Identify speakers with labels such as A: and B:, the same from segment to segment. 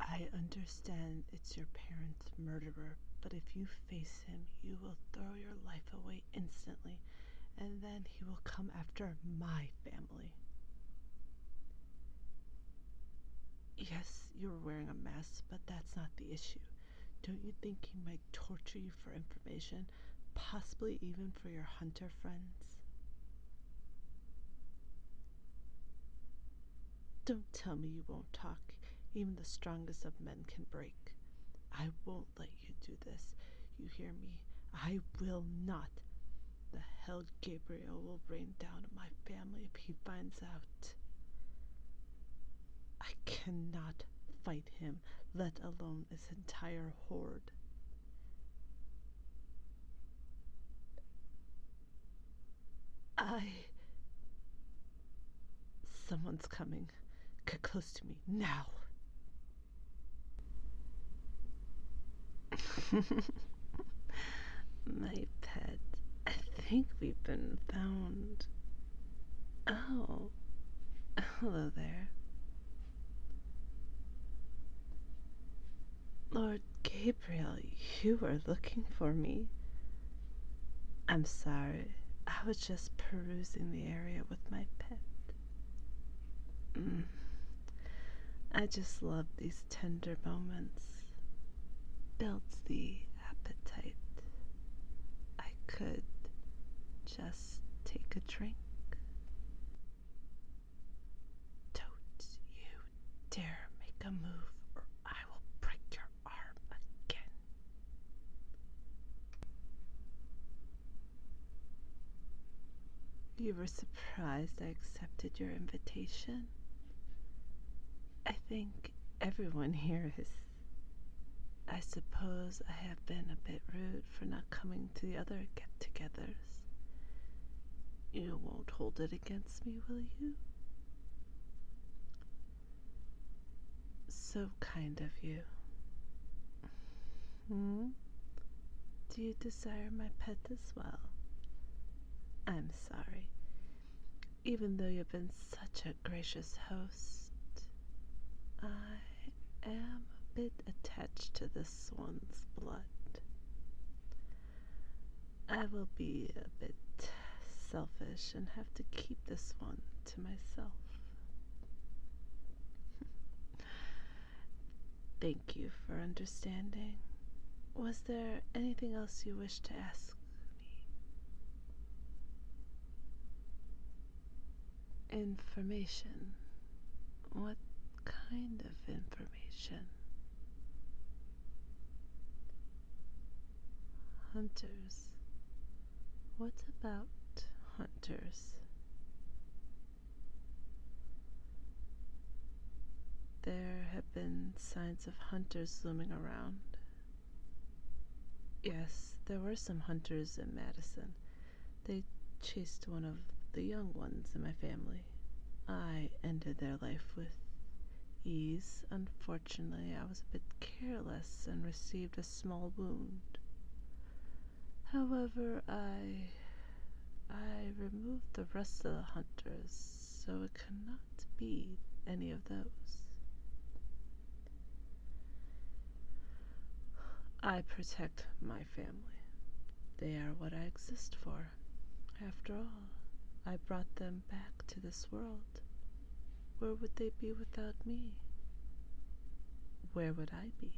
A: I understand it's your parents' murderer, but if you face him, you will throw your life away instantly, and then he will come after my family. Yes, you are wearing a mask, but that's not the issue. Don't you think he might torture you for information, possibly even for your hunter friends? Don't tell me you won't talk. Even the strongest of men can break. I won't let you do this. You hear me? I will not. The hell Gabriel will rain down on my family if he finds out. I cannot fight him, let alone his entire horde. I. Someone's coming. Get close to me now. My pet, I think we've been found. Oh, hello there. Lord Gabriel, you are looking for me. I'm sorry, I was just perusing the area with my pet. Mm. I just love these tender moments. Builds the appetite. I could just take a drink. Don't you dare make a move, or I will break your arm again. You were surprised I accepted your invitation? I think everyone here is. I suppose I have been a bit rude for not coming to the other get togethers. You won't hold it against me, will you? So kind of you. Hmm? Do you desire my pet as well? I'm sorry. Even though you've been such a gracious host, I I am a bit attached to this one's blood. I will be a bit selfish and have to keep this one to myself. Thank you for understanding. Was there anything else you wished to ask me? Information. What kind of information? Hunters. What about hunters? There have been signs of hunters looming around. Yes, there were some hunters in Madison, they chased one of the young ones in my family. I ended their life with ease. Unfortunately, I was a bit careless and received a small wound. However, I. I removed the rest of the hunters, so it cannot be any of those. I protect my family. They are what I exist for. After all, I brought them back to this world. Where would they be without me? Where would I be?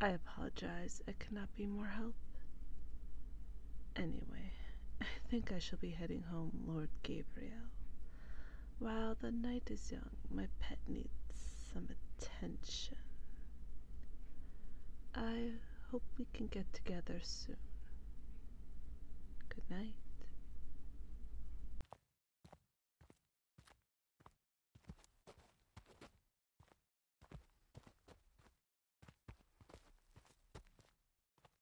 A: I apologize, I cannot be more help. Anyway. I think I shall be heading home, Lord Gabriel. While the night is young, my pet needs some attention. I hope we can get together soon. Good night.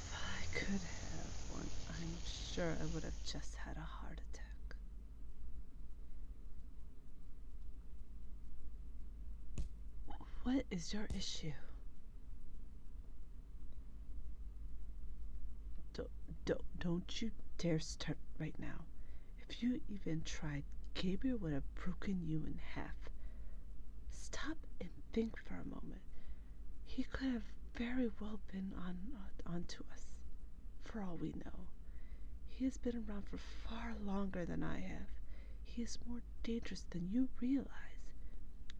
A: If I could have one, I'm sure I would have just had a heart attack. What is your issue? Don't, don't, don't you dare start right now. If you even tried, Gabriel would have broken you in half. Stop and think for a moment he could have very well been on uh, onto us, for all we know. He has been around for far longer than I have. He is more dangerous than you realize.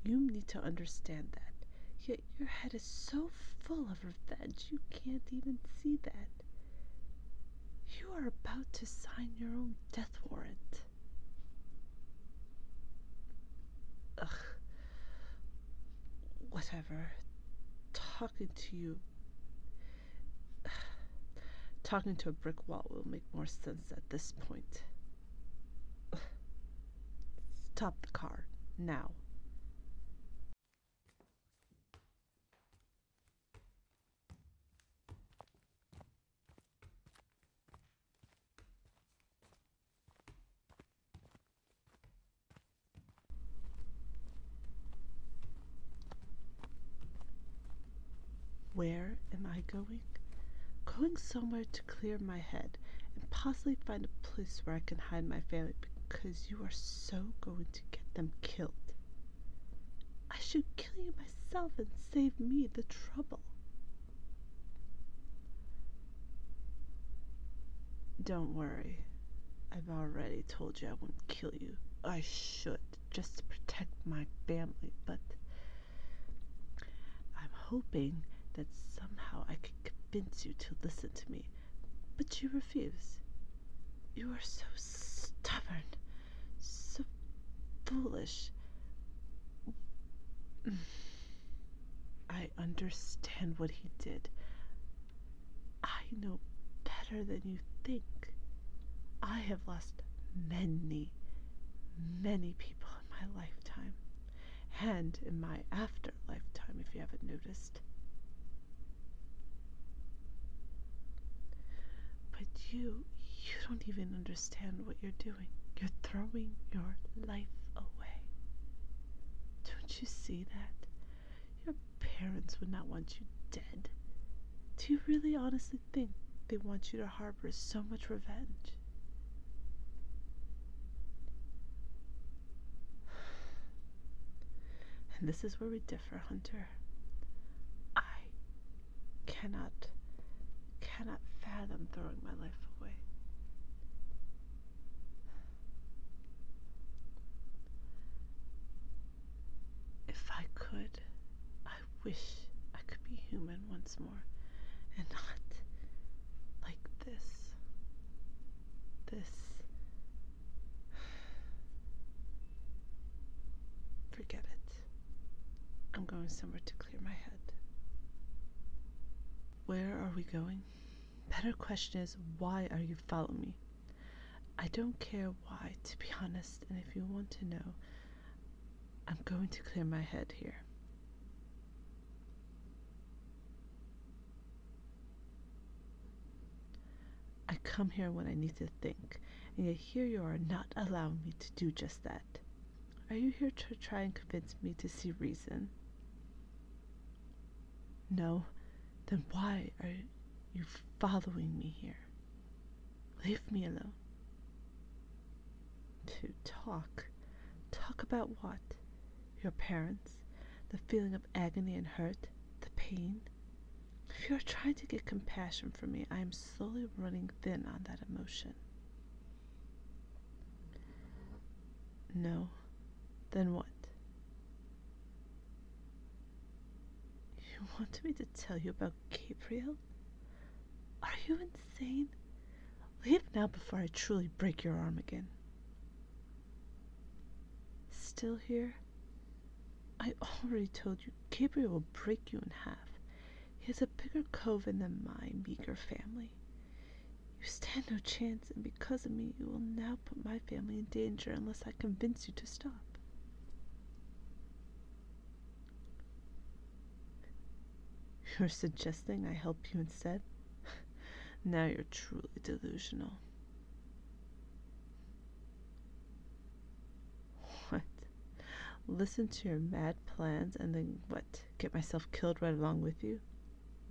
A: You need to understand that. Yet your head is so full of revenge you can't even see that. You are about to sign your own death warrant. Ugh. Whatever. Talking to you. Talking to a brick wall will make more sense at this point. Stop the car. Now. Where am I going? Going somewhere to clear my head and possibly find a place where I can hide my family because you are so going to get them killed. I should kill you myself and save me the trouble. Don't worry. I've already told you I wouldn't kill you. I should, just to protect my family, but I'm hoping that somehow I could convince you to listen to me. But you refuse. You are so stubborn, so foolish. I understand what he did. I know better than you think. I have lost many, many people in my lifetime, and in my after lifetime, if you haven't noticed. But you, you don't even understand what you're doing. You're throwing your life away. Don't you see that? Your parents would not want you dead. Do you really honestly think they want you to harbor so much revenge? And this is where we differ, Hunter. I cannot cannot fathom throwing my life away. If I could, I wish I could be human once more and not like this. This. Forget it. I'm going somewhere to clear my head. Where are we going? Better question is, why are you following me? I don't care why, to be honest, and if you want to know, I'm going to clear my head here. I come here when I need to think, and yet here you are not allowing me to do just that. Are you here to try and convince me to see reason? No, then why are you following me here? Leave me alone. To talk. Talk about what? Your parents? The feeling of agony and hurt? The pain? If you are trying to get compassion from me, I am slowly running thin on that emotion. No. Then what? You want me to tell you about Gabriel? Are you insane? Leave now before I truly break your arm again. Still here? I already told you Gabriel will break you in half. He has a bigger coven than my meager family. You stand no chance, and because of me you will now put my family in danger unless I convince you to stop. You're suggesting I help you instead? now you're truly delusional. What? Listen to your mad plans and then what? Get myself killed right along with you?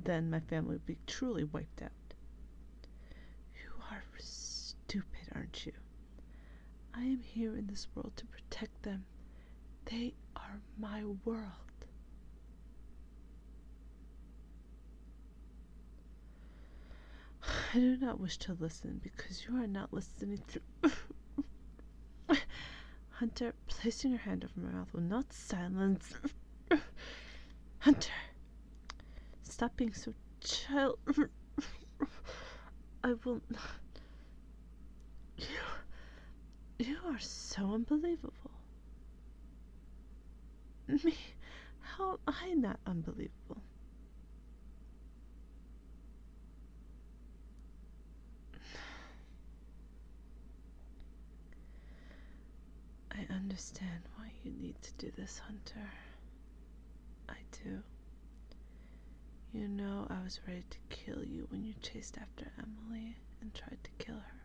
A: Then my family would be truly wiped out. You are stupid, aren't you? I am here in this world to protect them. They are my world. I do not wish to listen because you are not listening to Hunter, placing her hand over my mouth, will not silence. Hunter, stop being so child. I will not. You, you are so unbelievable. Me, how am I not unbelievable? I understand why you need to do this, Hunter. I do. You know I was ready to kill you when you chased after Emily and tried to kill her.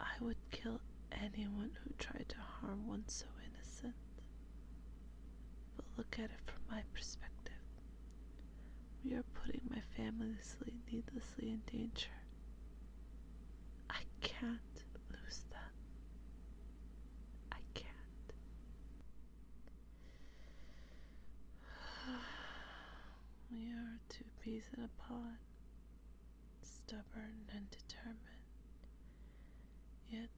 A: I would kill anyone who tried to harm one so innocent. But look at it from my perspective. We are putting my family's sleep needlessly in danger. I can't lose them. I can't. we are two peas in a pod, stubborn and determined, Yet,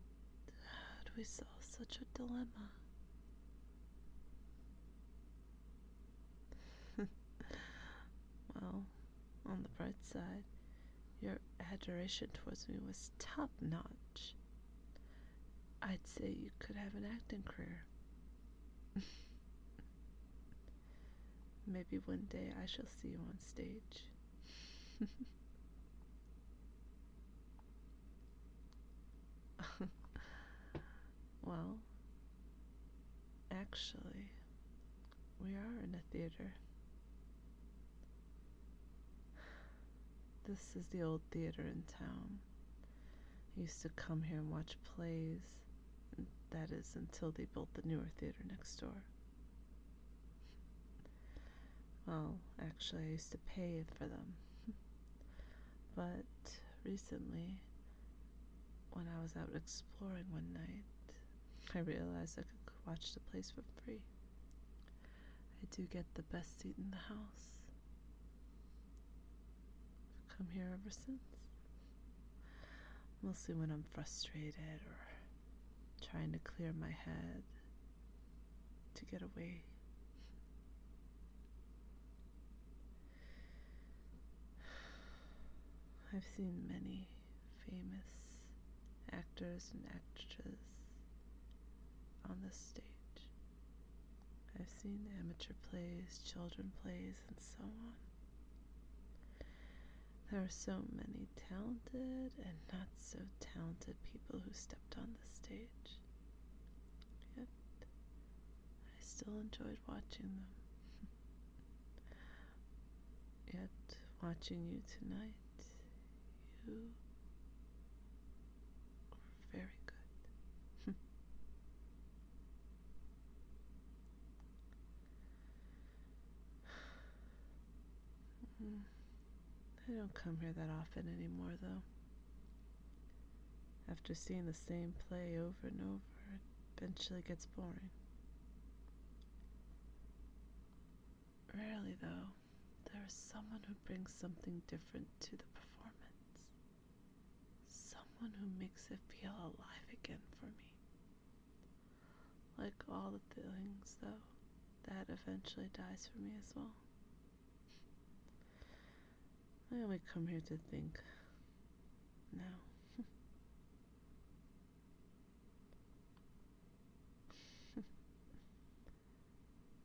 A: how do we solve such a dilemma? well, on the bright side, your adoration towards me was top notch. I'd say you could have an acting career. Maybe one day I shall see you on stage. well, actually, we are in a theater. This is the old theater in town. I used to come here and watch plays. And that is until they built the newer theater next door. Well, actually, I used to pay for them. but recently, when I was out exploring one night, I realized I could watch the place for free. I do get the best seat in the house. I've come here ever since. Mostly when I'm frustrated or trying to clear my head to get away. I've seen many famous actors and actresses on the stage. I've seen amateur plays, children plays, and so on. There are so many talented and not so talented people who stepped on the stage. Yet, I still enjoyed watching them. Yet, watching you tonight, you are very good. I don't come here that often anymore, though. After seeing the same play over and over, it eventually gets boring. Rarely, though, there is someone who brings something different to the performance. Someone who makes it feel alive again for me. Like all the feelings, though, that eventually dies for me as well. I only come here to think now.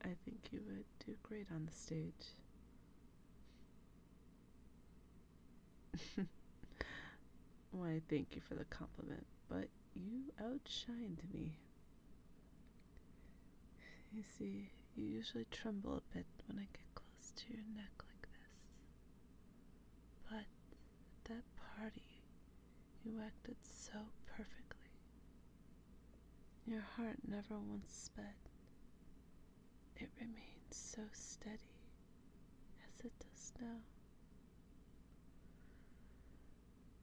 A: I think you would do great on the stage. Why, thank you for the compliment, but you outshined me. You see, you usually tremble a bit when I get close to your neck like this. But at that party, you acted so perfectly. Your heart never once sped, it remained so steady as it does now.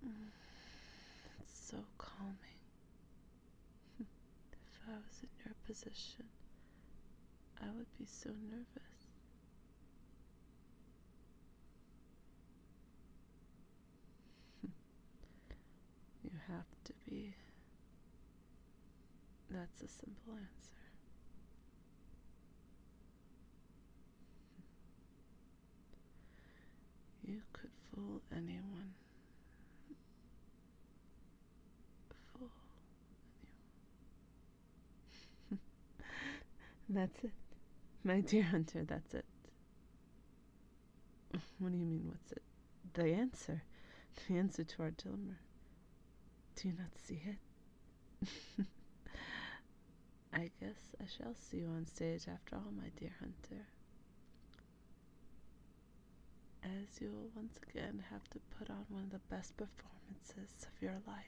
A: Mm, it's so calming. if I was in your position, I would be so nervous. you have to be. That's a simple answer. You could fool anyone. Fool anyone. that's it. My dear Hunter, that's it. What do you mean, what's it? The answer. The answer to our dilemma. Do you not see it? I guess I shall see you on stage after all, my dear hunter. As you will once again have to put on one of the best performances of your life.